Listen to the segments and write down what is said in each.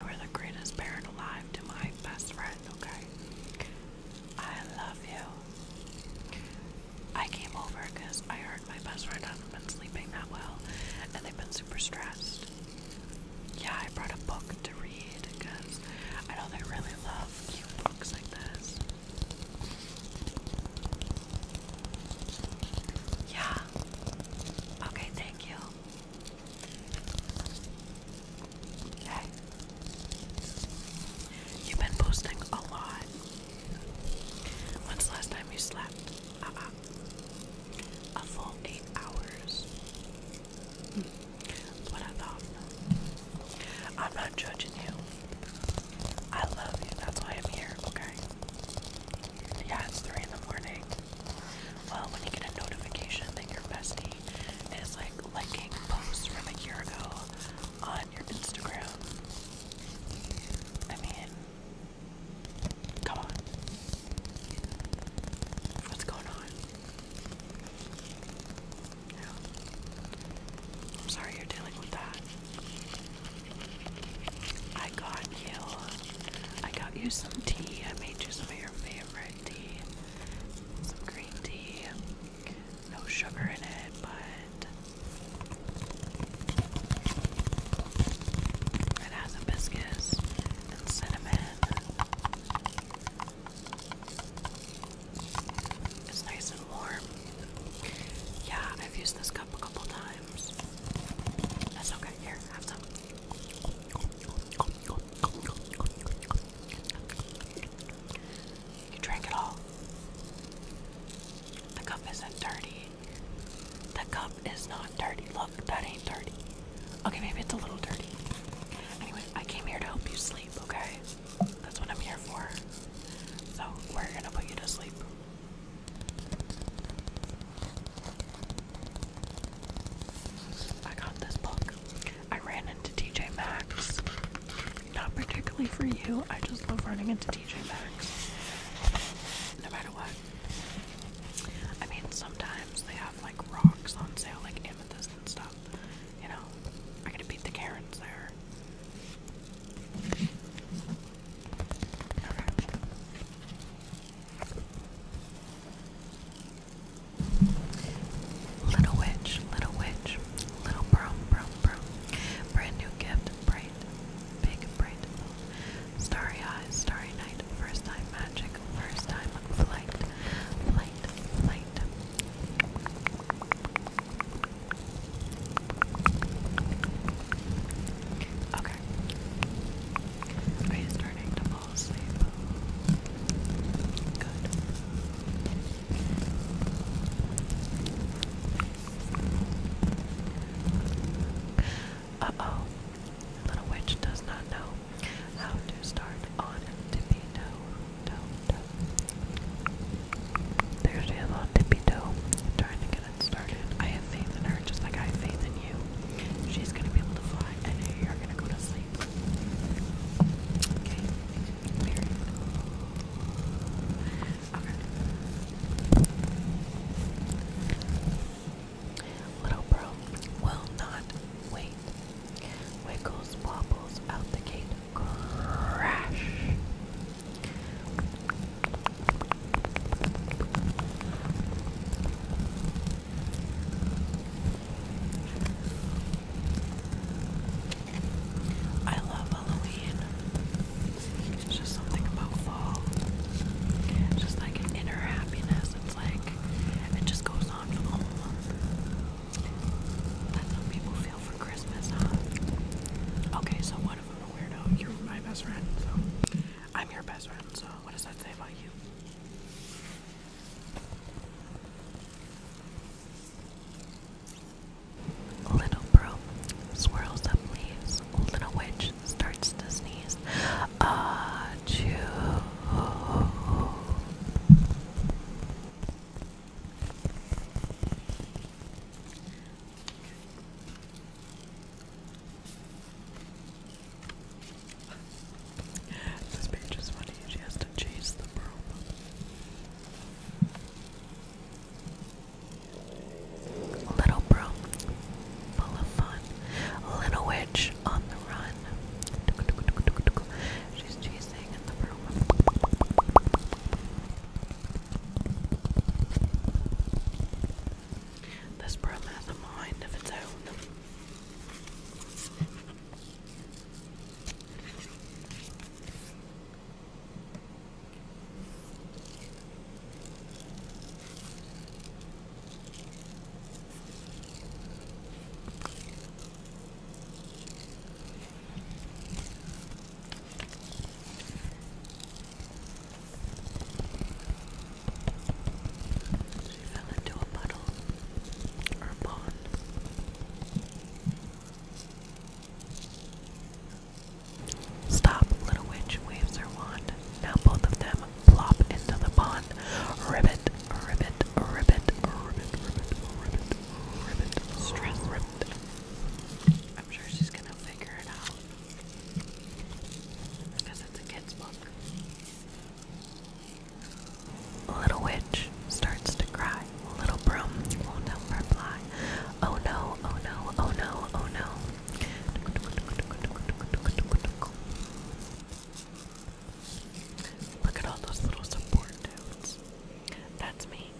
You are the greatest parent alive to my best friend, okay? I love you. I came over because I heard my best friend hasn't been sleeping that well and they've been super stressed. Yeah, I brought a book to read because I know they really love cute books like this. Yeah. Okay, thank you. Hey. You've been posting a lot. When's the last time you slept? Uh-uh. A full eight hours. Hmm. what I thought. I'm not judging you. I love you. That's why I'm here, okay? Yeah, it's three in the morning. Well, when you get a notification that your bestie is like liking posts from a year ago on your Instagram, I mean, come on. What's going on? I'm sorry you're dealing with that. I got you. I got you some tea. I made you some of your favorite tea. Some green tea. No sugar in it, but it has hibiscus and cinnamon. It's nice and warm. Yeah, I've used this cup a couple times. That's okay. Here, have some. You drank it all. The cup isn't dirty. The cup is not dirty. Look, that ain't dirty. Okay, maybe it's a little dirty. Anyway, I came here to help you sleep, okay? That's what I'm here for. So, we're gonna put you to sleep. I got this book. I ran into TJ Maxx. Not particularly for you, I just love running into TJ Maxx. No matter what. I mean, sometimes they have like rocks on sale, like amethyst and stuff. You know, I gotta beat the Karens there. Little witch, little witch, little broom, broom, broom. Brand new gift, bright, big, bright. Starry eyes, starry night, first time magic, first time flight, flight, flight. Okay. Are you starting to fall asleep? Good. Uh oh. Little witch does not know how to start on tippy there's a little tippy toe trying to get it started. I have faith in her just like I have faith in you. She's gonna be able fly and you're gonna go to sleep. Okay. Very cool. Little bro will not wait. Wiggles wobbles out the gate. Crash. I love Halloween. It's just something about fall. just like an inner happiness. It's like it just goes on for the whole that's how people feel for Christmas, huh? Okay, so what if i a weirdo? You're my best friend, so I'm your best friend, so what does that say about you? Little bro swirls up leaves. Little witch starts to sneeze. Ah, chew this page is funny, she has to chase the broom. Little broom, full of fun. Little witch on the run. She's chasing happening in This broom has a mind of its own. She fell into a puddle or a pond. Stop, little witch waves her wand. Now both of them plop into the pond. Ribbit, ribbit, ribbit, ribbit, ribbit, ribbit, ribbit, stress ribbit. I'm sure she's gonna figure it out. Because it's a kid's book. Little witch starts to cry. Little broom won't fly. Oh no, oh no, oh no, oh no. Look at all those little support dudes. That's me.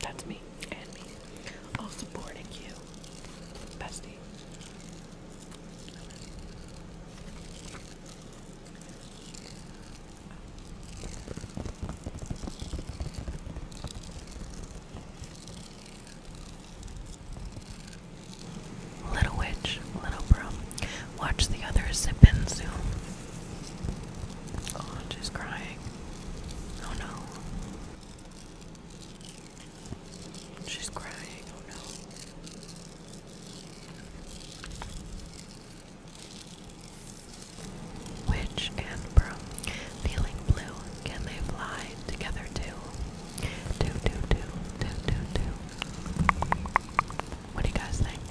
That's me. And me. All supporting you. Bestie. Little witch, little bro. Watch the others zip in soon. Oh, she's crying. Oh no. She's crying. Oh no. Witch and Brum, feeling blue, can they fly together too? Do, do, do, do, do, do. What do you guys think?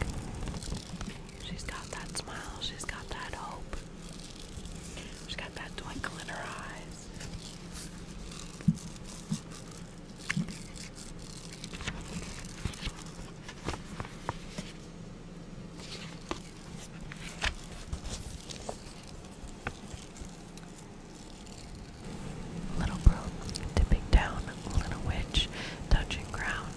She's got that smile, she's got that hope. She's got that twinkle in her eyes. Little bro dipping down, little witch touching ground,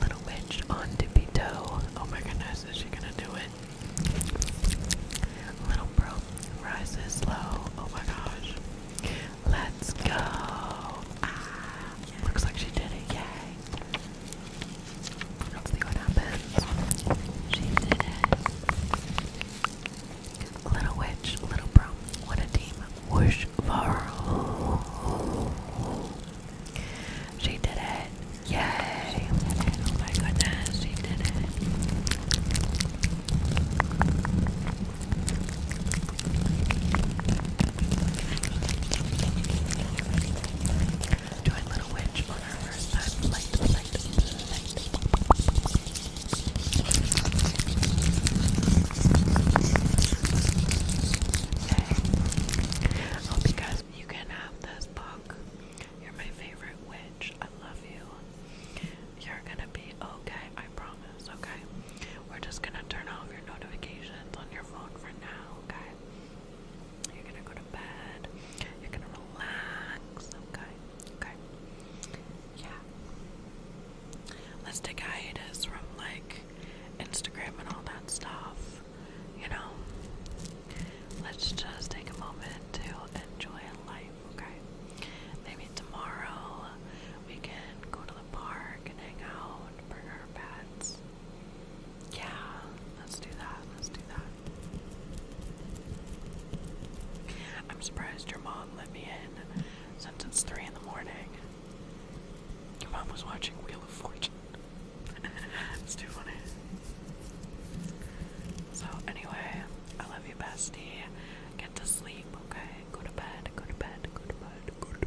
little witch on dippy toe. Oh my goodness, is she gonna do it? Little bro rises low. Oh my gosh. Let's go. Ah, looks like she did it. Yay. Let's see what happens. She did it. Little witch, little bro, what a team. Whoosh var. She did it. Yay. Oh my goodness, she did it. Join Little Witch Hope you guys you can have this book. You're my favorite witch. I love you. You're gonna be okay, I promise, okay? We're just gonna turn off your notifications on your phone for now, okay? You're gonna go to bed. You're gonna relax, okay? Okay. Yeah. Let's take hiatus from like Instagram and all that stuff. You know? Let's just take a moment to enjoy life, okay? Maybe tomorrow we can go to the park and hang out, bring our pets. Yeah, let's do that. Let's do that. I'm surprised your mom let me in since it's three in the morning. Your mom was watching Wheel of Fortune. it's too funny. So anyway, I love you, bestie. Get to sleep, okay? Go to bed. Go to bed. Go to bed. Go to bed.